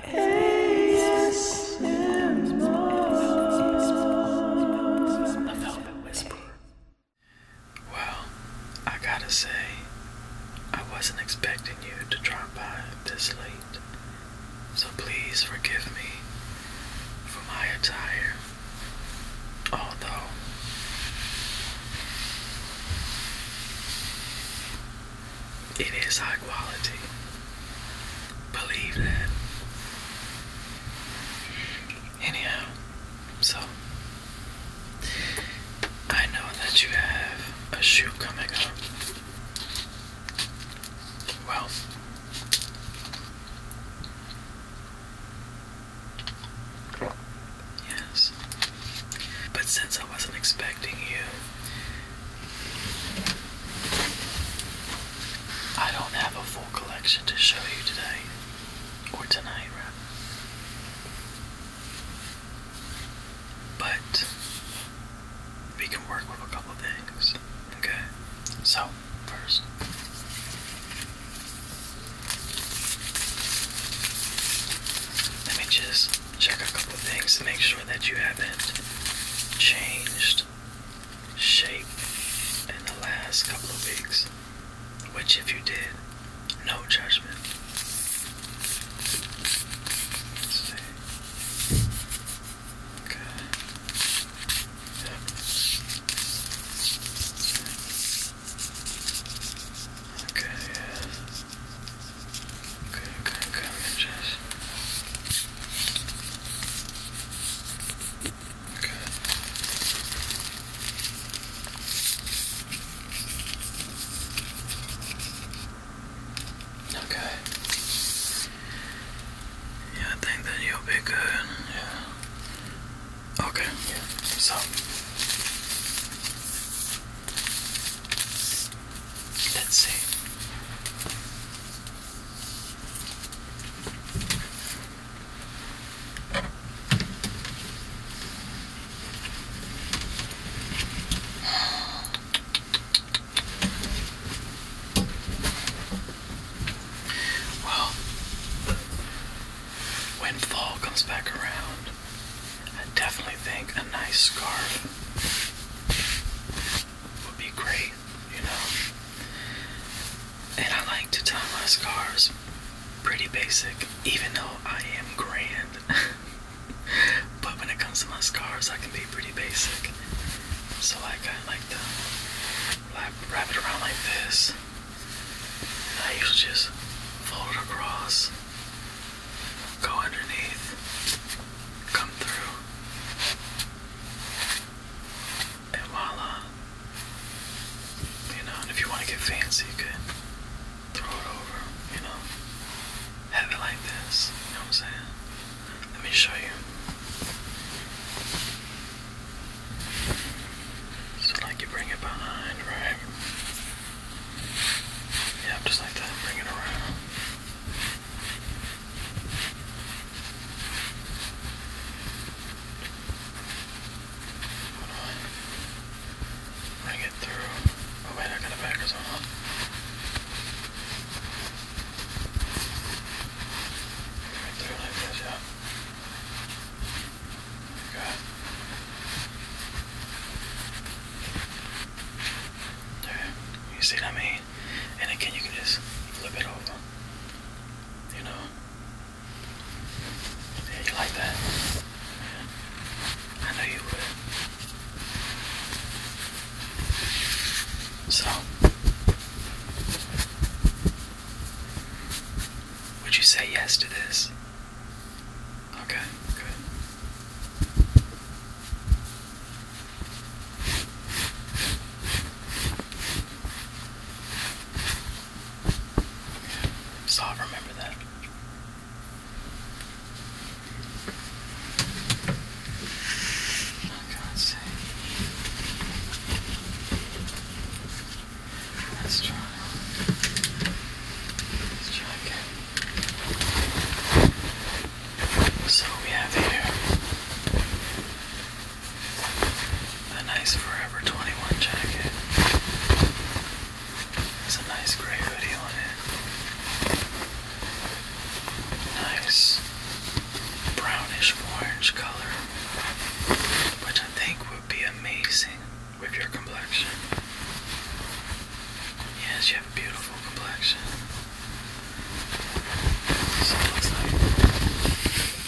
Well, I gotta say, I wasn't expecting you to drop by this late, so please forgive me for my attire. Although it is high quality. Believe that. Anyhow, so I know that you have a shoe coming up. Well, yes. But since I wasn't expecting you, I don't have a full collection to show you today, or tonight, rather. But we can work with a couple things. Okay? So, first. Let me just check a couple things to make sure that you haven't changed shape in the last couple of weeks. Which, if you did, no judgment. Okay. Okay. Okay, okay, okay, I'm just... Okay. Okay. Yeah, I think that you'll be good. Yeah. Okay. Yeah. So Let's see. Well, when fall comes back around, I definitely think a nice scarf would be great, you know. And I like to tie my scarves pretty basic, even though I am grand. but when it comes to my scarves, I can be pretty basic. So like I like to wrap, it around like this. And I usually just fold it across Go underneath, come through, and voila. You know, and if you want to get fancy, you could throw it over, you know, have it like this. You know what I'm saying? Let me show you. So, like, you bring it behind, right? Yeah, just like that, bring it around. Bring it through. Oh wait, I got a backers on. Bring it through like this, yeah. Good. You see what I mean? And again, you just flip it over. You know? you like that? I know you would. So, would you say yes to this? Okay, good. So remember that. Okay, oh, let Let's try. Let's try again. So we have here a nice Forever 21 jacket. There's a nice gray hoodie on it. Nice brownish orange color, which I think would be amazing with your complexion. Yes, you have a beautiful complexion. So looks like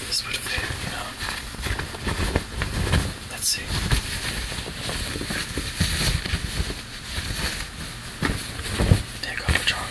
this would fit, you know. Let's see. Take off the trunk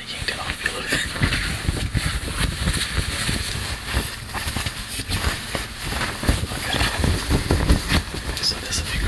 I yanked it off you, look. Okay. So this would be great.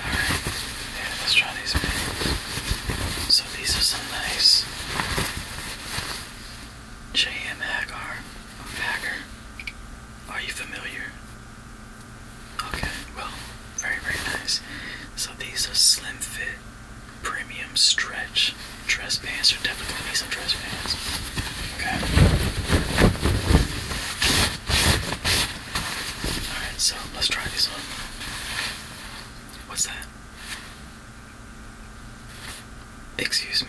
Alright, let's try these things. So these are some nice JM Hagar Hagar. Are you familiar? Okay, well, very very nice. So these are slim fit premium stretch dress pants are definitely Okay. Alright, so let's try this one. What's that? Excuse me.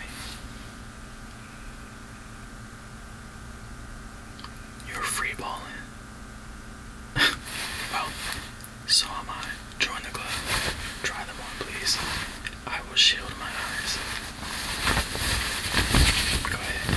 You're free balling. well, so am I. Join the club. Try them on, please. I will shield my eyes. Go ahead.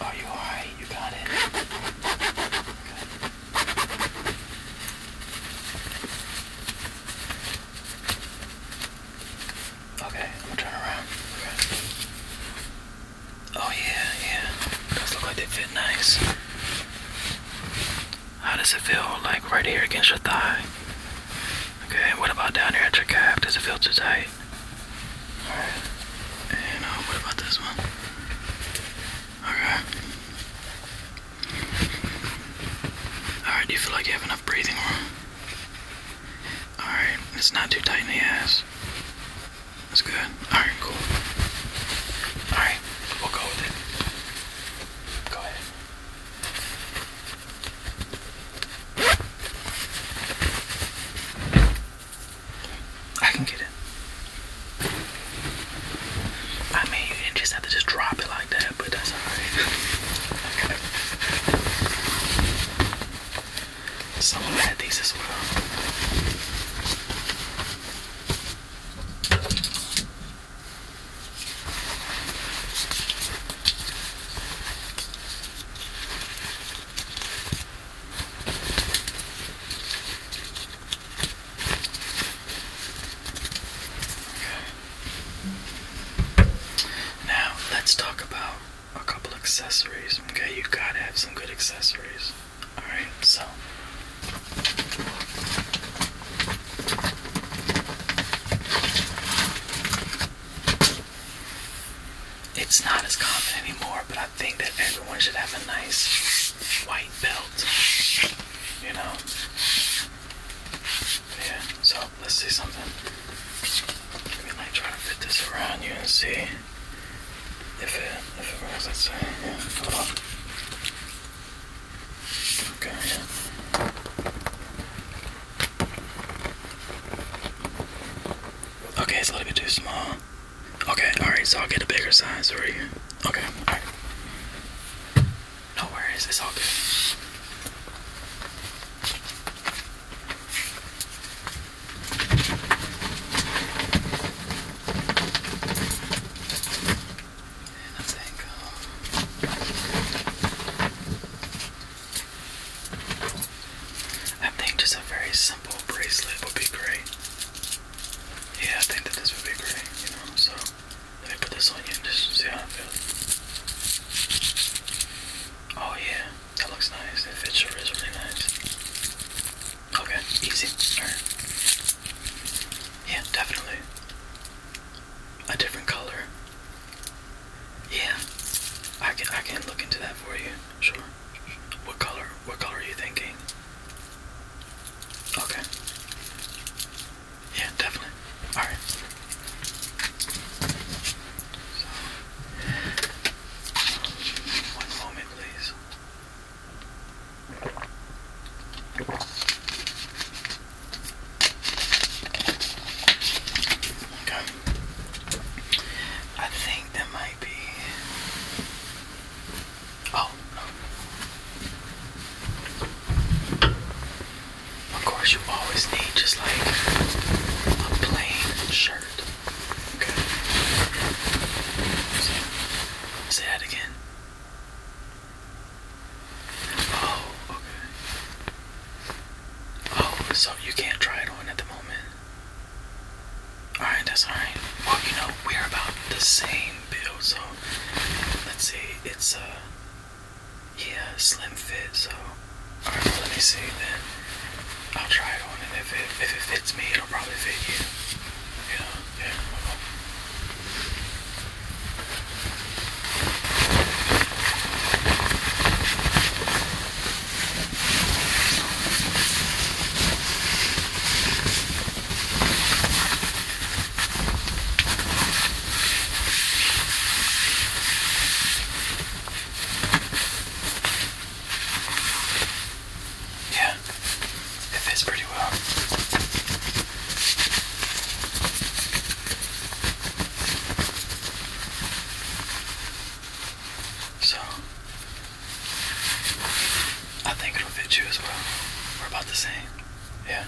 Are oh, you alright? You got it? Okay, I'm gonna turn around. Okay. Oh yeah, yeah. Does look like they fit nice. How does it feel like right here against your thigh? Okay, and what about down here at your calf? Does it feel too tight? Alright. And uh, what about this one? Okay. Alright, do you feel like you have enough breathing room? Alright, it's not too tight in the ass. That's good. Alright, cool. Alright, we'll go with it. Go ahead. I can get it. I mean, you just have to just drop it like that, but that's alright. Someone had these as well. Now let's talk about a couple accessories. Okay, you gotta have some good accessories. Alright, so it's not as common anymore, but I think that everyone should have a nice white belt. You know? Yeah, so let's see something. Let me like try to fit this around you and see if it if it works. Let's see. Okay, yeah. Okay, it's a little bit too small. Okay, alright, so I'll get a bigger size for you. Okay, alright. No worries, it's all good. I think just a very simple bracelet would be great yeah, I think that this would be great, you know, so let me put this on you and just see how it feels. Oh yeah, that looks nice. It fits your wrist really nice. Okay, easy. Alright. Yeah, definitely. A different color. Yeah. I can I can look into that for you, sure. What color? What color are you thinking? Okay. Yeah, definitely. All right. one moment, please. Okay. I think that my Oh, Of course, you always need just like a plain shirt. Okay. Say that again. Oh, okay. Oh, so you can't try it on at the moment. Alright, that's alright. Well, you know, we're about the same build, so let's see. It's, a uh, yeah, slim fit, so. Alright, let me see then. I'll try it on, and if it, if it fits me, it'll probably fit you. You know, yeah. Yeah, it fits pretty well. So I think it'll fit you as well. We're about the same. Yeah.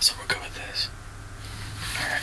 So we're good with this. Alright.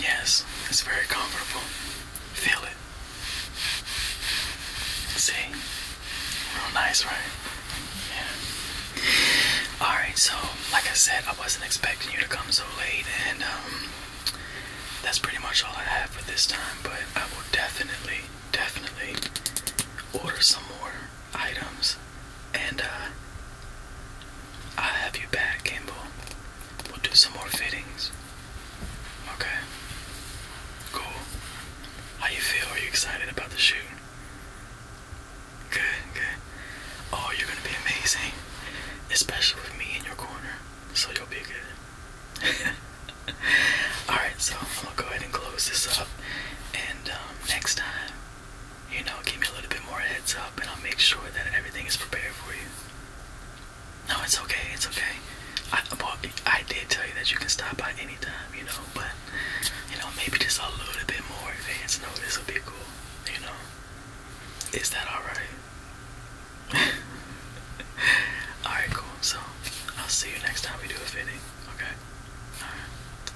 Yes, it's very comfortable. Feel it. See? Real nice, right? Yeah. Alright, so like I said, I wasn't expecting you to come so late, and um, that's pretty much all I have for this time, but I will definitely, definitely order some more items, and uh, I'll have you back, Kimball. We'll do some more fittings. Okay. Cool. How you feel? Are you excited about the shoot? Good, good. Oh, you're gonna be amazing. Especially with me in your corner. So you'll be good. Alright, so I'm gonna go ahead and close this up. And um, next time, you know, give me a little bit more heads up and I'll make sure that everything is prepared for you. No, it's okay, it's okay. I, well, I did tell you that you can stop by anytime, you know, but, you know, maybe just a little bit more advance notice would be cool, you know. Is that alright? alright, cool. So, I'll see you next time we do a fitting, okay? Alright.